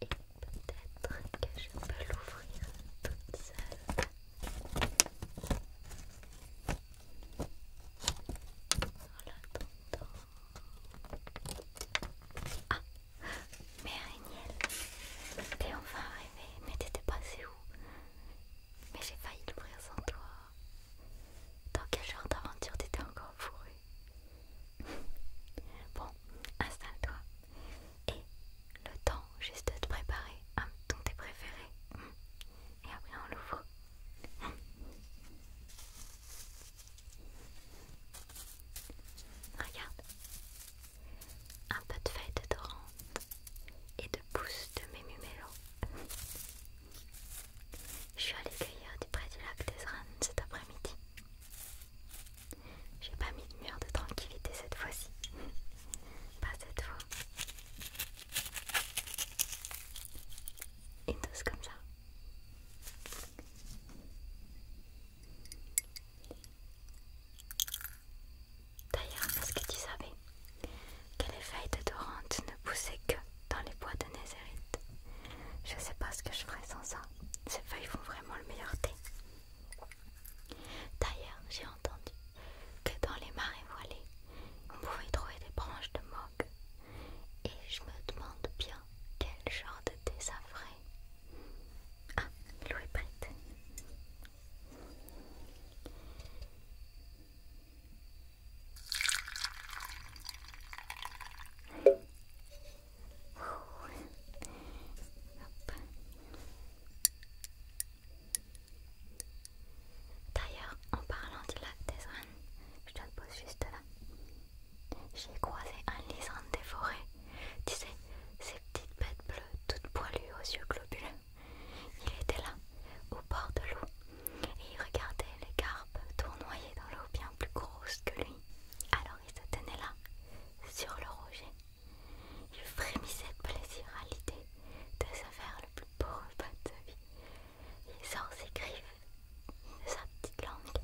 Et peut-être que je peux l'ouvrir toute seule. Ah Mais miel. t'es enfin arrivée, mais t'étais passée où Mais j'ai failli l'ouvrir sans toi. Dans quel genre d'aventure t'étais encore fourrée Bon, installe-toi. Et le temps juste de préparer un ton tes préféré. Et après on l'ouvre. Regarde. Un peu de feuilles de dorante et de pousses de mémumélo. Je suis allée cueillir du près du lac des Rannes cet après-midi. J'ai pas mis de mur de tranquillité cette fois-ci. pas cette fois. Une douce comme ça. D'ailleurs, est-ce que tu savais que les feuilles de dorante ne poussaient que dans les bois de Nézérite Je sais pas ce que je ferais sans ça. Ces feuilles font vraiment le meilleur thé. D'ailleurs, j'ai entendu que dans les marais voilés, on pouvait trouver des branches de moque. Et je me demande bien quel genre de thé ça ferait. Ah, l'eau est prête. D'ailleurs, en parlant de lac des Rennes, je te pose juste là. J'ai croisé un lysandre des forêts. Tu sais, ces petites bêtes bleues, toutes poilues aux yeux globuleux. Il était là, au bord de l'eau, et il regardait les carpes tournoyer dans l'eau bien plus grosse que lui. Alors il se tenait là, sur le rocher. Il frémissait de plaisir à l'idée de se faire le plus beau repas de sa vie. Il sort ses griffes de sa petite langue,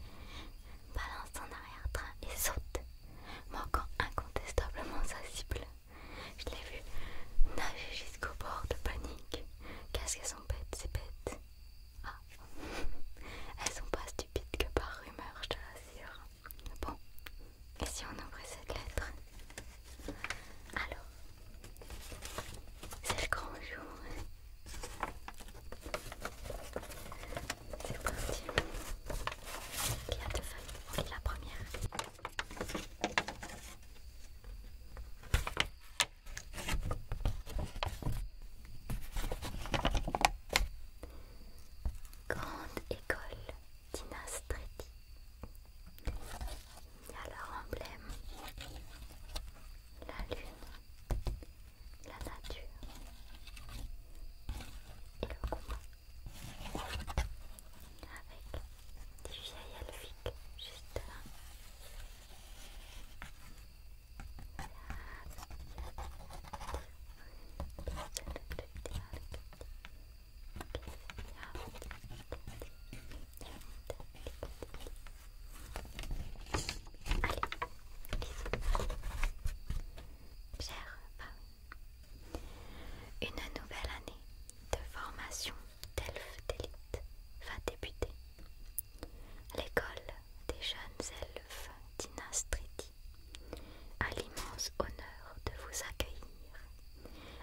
balance son arrière-train et saute, manquant incontestablement sa cible. Je l'ai vu nager jusqu'au bord de panique, Qu'est-ce que sont bêtes, ses bêtes, ah, elles sont pas stupides que par rumeur, je te l'assure. Bon, et si on ouvrait cette lettre Alors, c'est le grand jour. C'est parti. Il y a deux feuilles. La première. Grande école, Tina Il y a leur emblème, la lune, la nature et le combat. Avec des vieilles elfiques juste là. Une nouvelle année de formation d'elfes d'élite va débuter. L'école des jeunes elfes d'Inastriti a l'immense honneur de vous accueillir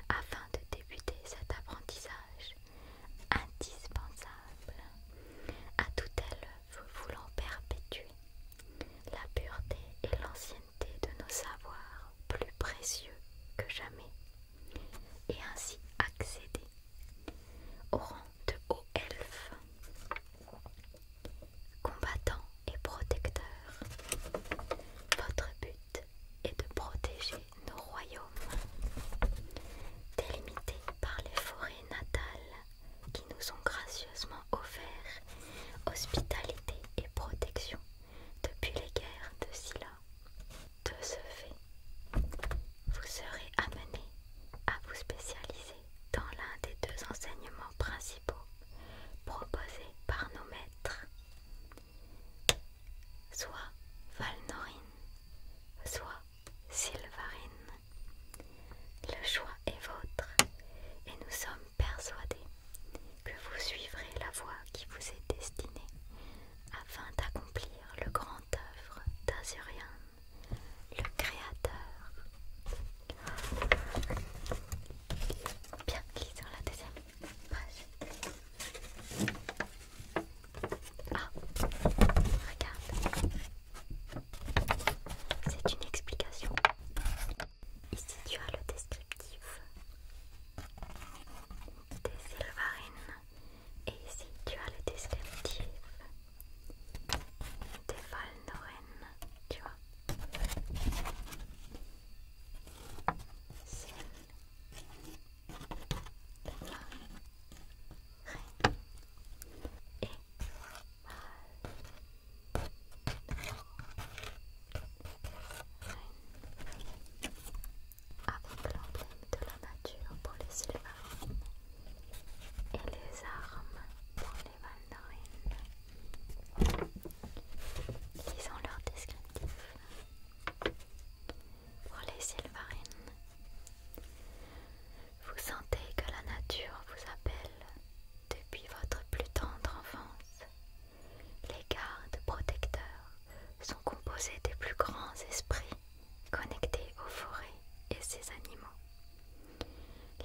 afin de débuter cet apprentissage indispensable à tout élève voulant perpétuer la pureté et l'ancienneté de nos savoirs plus précieux que jamais et ainsi accéder au rang de haut elfe, combattant et protecteurs. Votre but est de protéger nos royaumes, délimités par les forêts natales qui nous ont gracieusement offert hospitalité et protection depuis les guerres de Scylla. De ce fait, vous serez amené à vous spécialiser dans l'un des deux enseignements principaux proposés par nos maîtres, soit Valnorin, soit Sylvarine. Le choix est votre et nous sommes persuadés que vous suivrez la voie qui vous est destinée afin d'accomplir le grand œuvre d'Azurian le créateur. Bien, glisser la deuxième page. Ah, regarde. C'est une explication. Ici, tu as le descriptif des Sylvarines. Et ici, tu as le descriptif des Val-Noren, tu vois. Celle et avec l'emblème de la nature pour les Sylvarines et les armes pour les mandarines. Lisons leur descriptif. Pour les Sylvarines, vous sentez que la nature vous appelle depuis votre plus tendre enfance. Les gardes protecteurs sont composés des plus grands esprits Connectés aux forêts et ses animaux,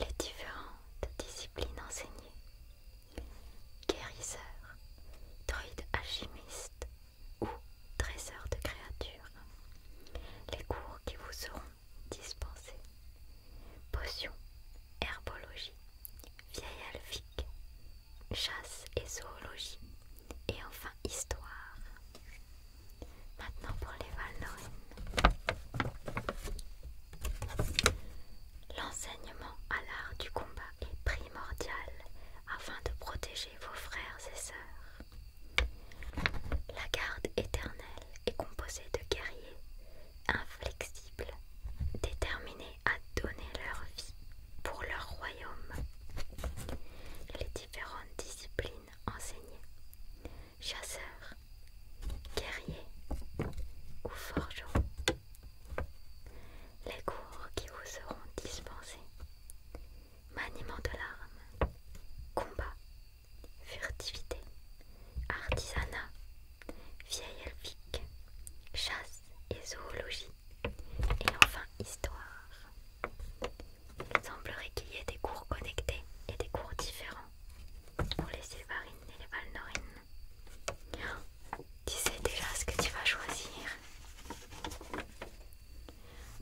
les différentes disciplines enseignées, guérisseurs, druides alchimistes ou trésors de créatures, les cours qui vous seront dispensés, potions, herbologie, vieilles alvique, chasse et zoologie, et enfin histoire. Maintenant pour les Valnoines. L'enseignement à l'art du combat est primordial afin de protéger vos frères et sœurs. La garde éternelle est composée de guerriers inflexibles, déterminés à donner leur vie pour leur royaume. Les différentes disciplines Enseignés, Chasseur, guerrier ou forgeron. Les cours qui vous seront dispensés. Maniement de l'arme, combat, furtivité, artisanat, vieille elfique, chasse et zoologie, et enfin histoire. Il semblerait qu'il y ait des cours connectés et des cours différents pour les Sylvarines et les Valnorines. tu sais déjà ce que tu vas choisir.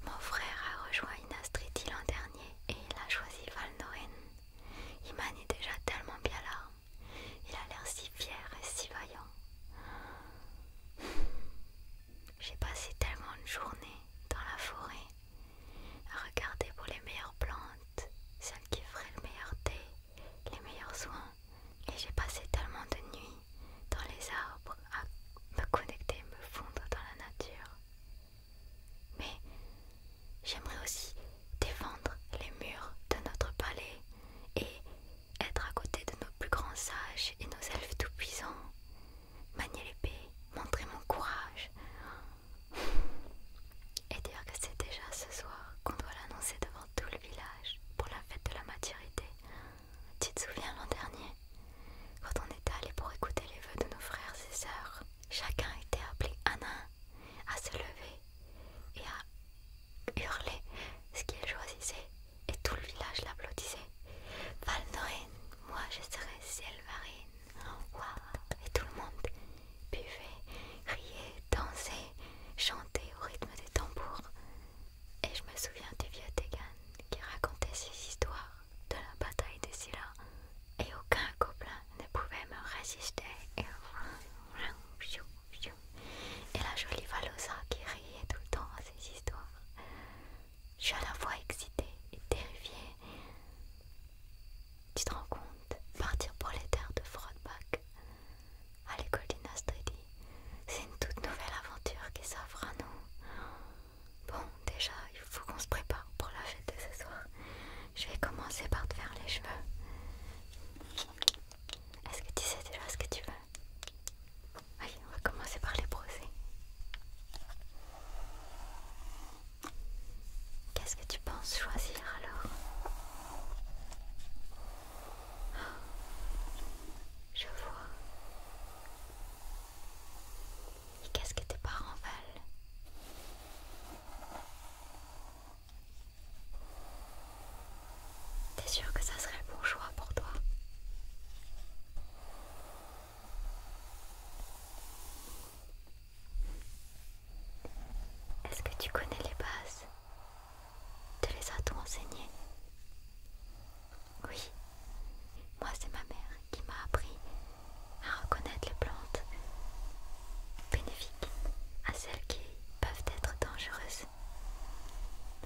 Mon frère a rejoint Inastriti l'an dernier et il a choisi valnorine. Il est déjà tellement bien là. Il a l'air si fier et si vaillant. J'ai passé tellement de journées dans la forêt à regarder pour les meilleures plantes, celles qui feraient le meilleur thé, les meilleurs soins. Et j'ai passé tellement de nuits dans les arbres à me connecter, me fondre dans la nature. Mais j'aimerais aussi défendre les murs de notre palais et être à côté de nos plus grands sages et nos elfes tout-puissants manier l'épée, montrer mon courage. Et dire que c'est déjà ce soir qu'on doit l'annoncer devant tout le village pour la fête de la maturité. Tu te souviens l'an dernier Quand on était allé pour écouter les vœux de nos frères et sœurs, chacun était appelé à un à se lever et à hurler ce qu'il choisissait et tout le village l'applaudissait. Valnorine, moi je serai en Waouh! Et tout le monde buvait, riait, dansait, chantait au rythme des tambours. Et je me souviens du vieux Tegan qui racontait ses histoires de la bataille de Scylla. Et aucun gobelin ne pouvait me résister. Et la jolie Valosa qui riait tout le temps à ces histoires. Je suis à la fois excitée et terrifiée. Tu te rends compte Partir pour les terres de Frodbach à l'école d'Inastredi, c'est une toute nouvelle aventure qui s'offre à nous. Bon, déjà, il faut qu'on se prépare pour la fête de ce soir. Je vais commencer par te faire les cheveux. Est-ce que tu sais déjà ce que tu veux Allez, on va commencer par les brosser. Qu'est-ce que tu penses choisir alors Je vois. Et qu'est-ce que tes parents veulent T'es sûr que ça serait le bon choix pour toi est-ce que tu connais les bases Te les as t on enseignées Oui, moi c'est ma mère qui m'a appris à reconnaître les plantes bénéfiques à celles qui peuvent être dangereuses.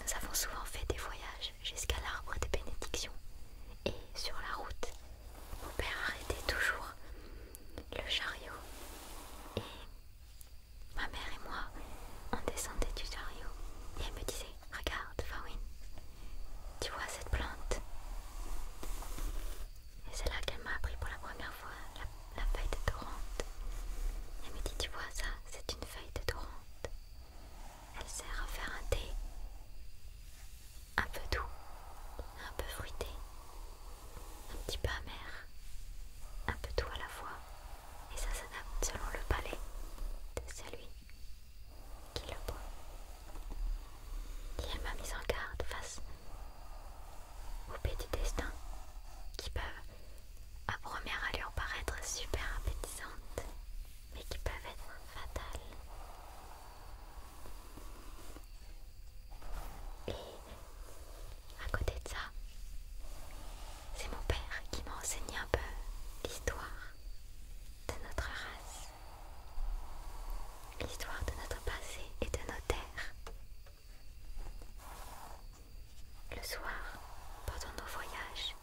Nous avons souvent fait des voyages jusqu'à l'arbre de bénédiction. Et sur la route, mon père arrêtait toujours le chariot. Et ma mère et moi, on descendait du chariot. Et elle me disait, regarde Farouin, tu vois cette plante Et c'est là qu'elle m'a appris pour la première fois la, feuille de torrente. Elle me dit, tu vois ça, c'est une feuille de torrente. Elle sert à faire un thé un peu doux, un peu fruité, un petit peu amer, un peu tout à la fois, et ça s'adapte selon le palais de celui qui le boit. Et elle m'a mise en garde face aux baies du destin qui peuvent à première allure paraître super appétissantes mais qui peuvent être fatales. Et à côté de ça, c'est mon père qui m'a enseigné un peu l'histoire de notre race, l'histoire de notre passé et de nos terres. Le soir, pendant nos voyages,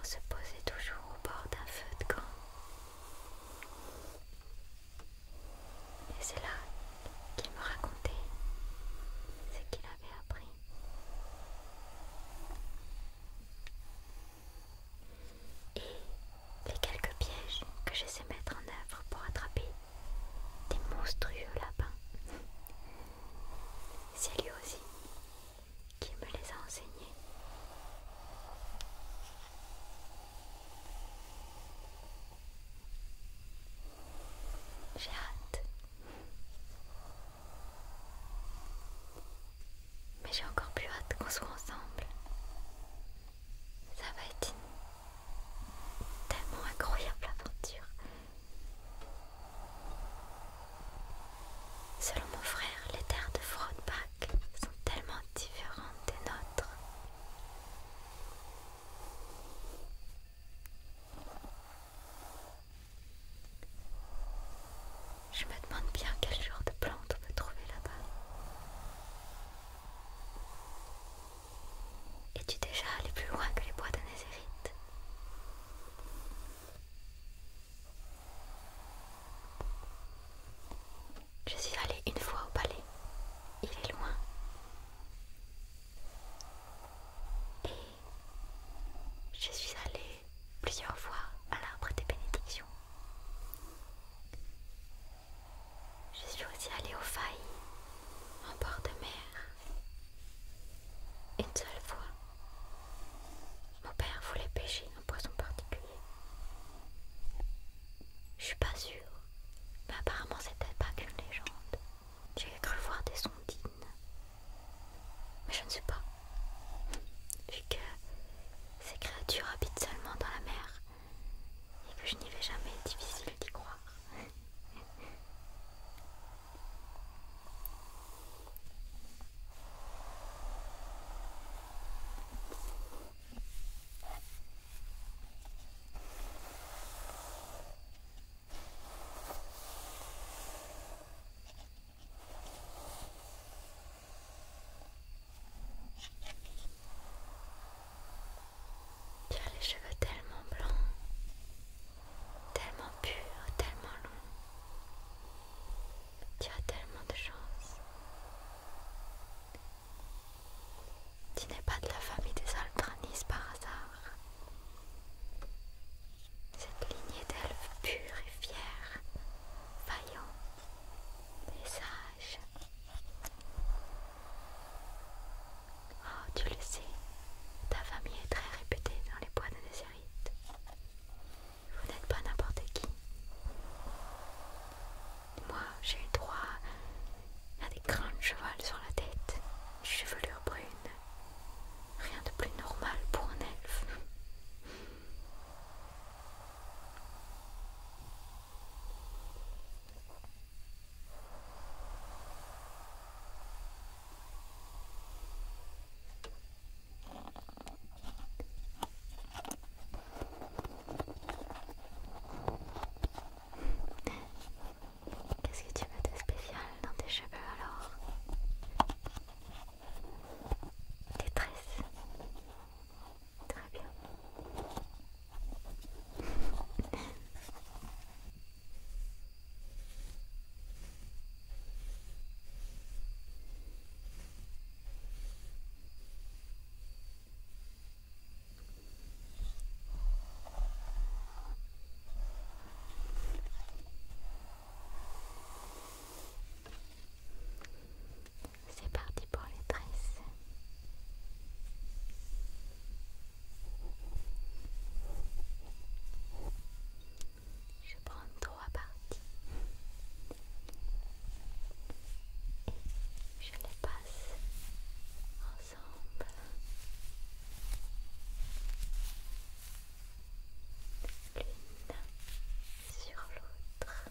on se posait toujours au bord d'un feu de camp. Et c'est là qu'il me racontait ce qu'il avait appris. Et les quelques pièges que j'essaie de mettre en œuvre pour attraper des monstrueux lapins. C'est lui aussi qui me les a enseignés. J'ai hâte. Mais j'ai encore plus hâte qu'on soit ensemble. Ça va être une tellement incroyable aventure. Selon mon frère, les terres de Frodpack sont tellement différentes des nôtres. Je me demande bien quel genre de plante on peut trouver là-bas. Es-tu déjà allé plus loin que les bois de Nazérite je suis allée une fois au palais. Il est loin. Et je suis allée plusieurs fois à l'arbre des bénédictions. Je suis aussi allée aux failles en bord de mer. Une seule fois. Mon père voulait pêcher un poisson particulier. Je suis pas sûre, mais apparemment c'était pas qu'une légende. J'ai cru voir des sondines, mais je ne sais pas. Vu que ces créatures habitent seulement dans la mer et que je n'y vais jamais, difficile d'y croire. Tiens les cheveux tellement blancs tellement pur, tellement long. Tu as tellement de chance. Tu n'es pas de la famille des Altranis par hasard. Cette lignée d'elfes pure et fière, vaillants, et sage. Oh, tu le sais, ta famille est très réputée dans les bois de Nazareth. Vous n'êtes pas n'importe qui. Moi, j'ai eu droit à des crins de cheval sur la tête, une chevelure brune. Rien de plus normal pour un elfe. Qu'est-ce que tu mets de spécial dans tes cheveux alors Tes tresses. Très bien. C'est parti pour les tresses. Je prends trois parties et je les passe ensemble. L'une sur l'autre.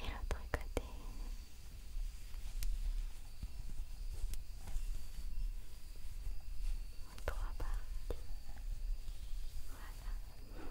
Et l'autre côté. En trois parties. Voilà. Voilà.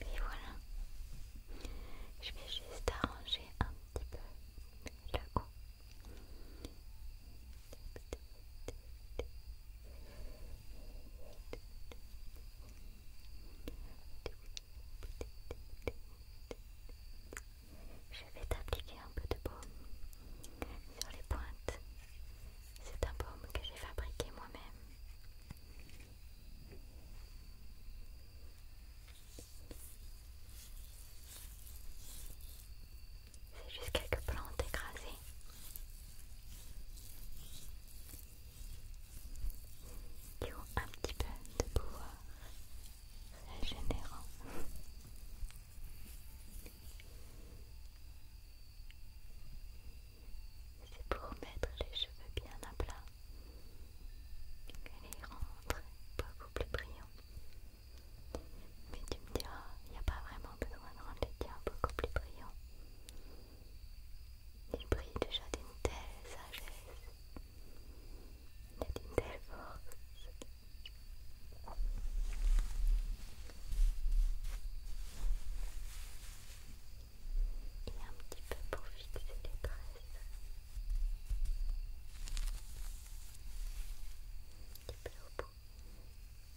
Et voilà, je vais juste arranger un petit peu le coup. Je vais t'appliquer un peu de baume sur les pointes. C'est un baume que j'ai fabriqué moi-même. C'est juste quelques plantes écrasées. Qui ont un petit peu de pouvoir régénérant. C'est pour mettre les cheveux bien à plat, les rendre beaucoup plus brillants. Mais tu me diras, il n'y a pas vraiment besoin de rendre les tiens beaucoup plus brillants. Ils brillent déjà d'une telle sagesse et d'une telle force. Et un petit peu pour fixer les tresses. Un petit peu au bout.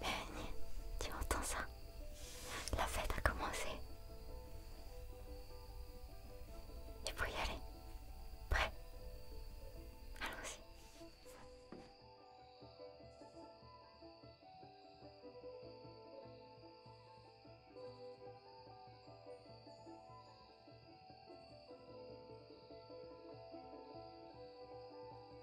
Ben, tu entends ça La fête a commencé. Tu peux y aller. Prêt Allons-y.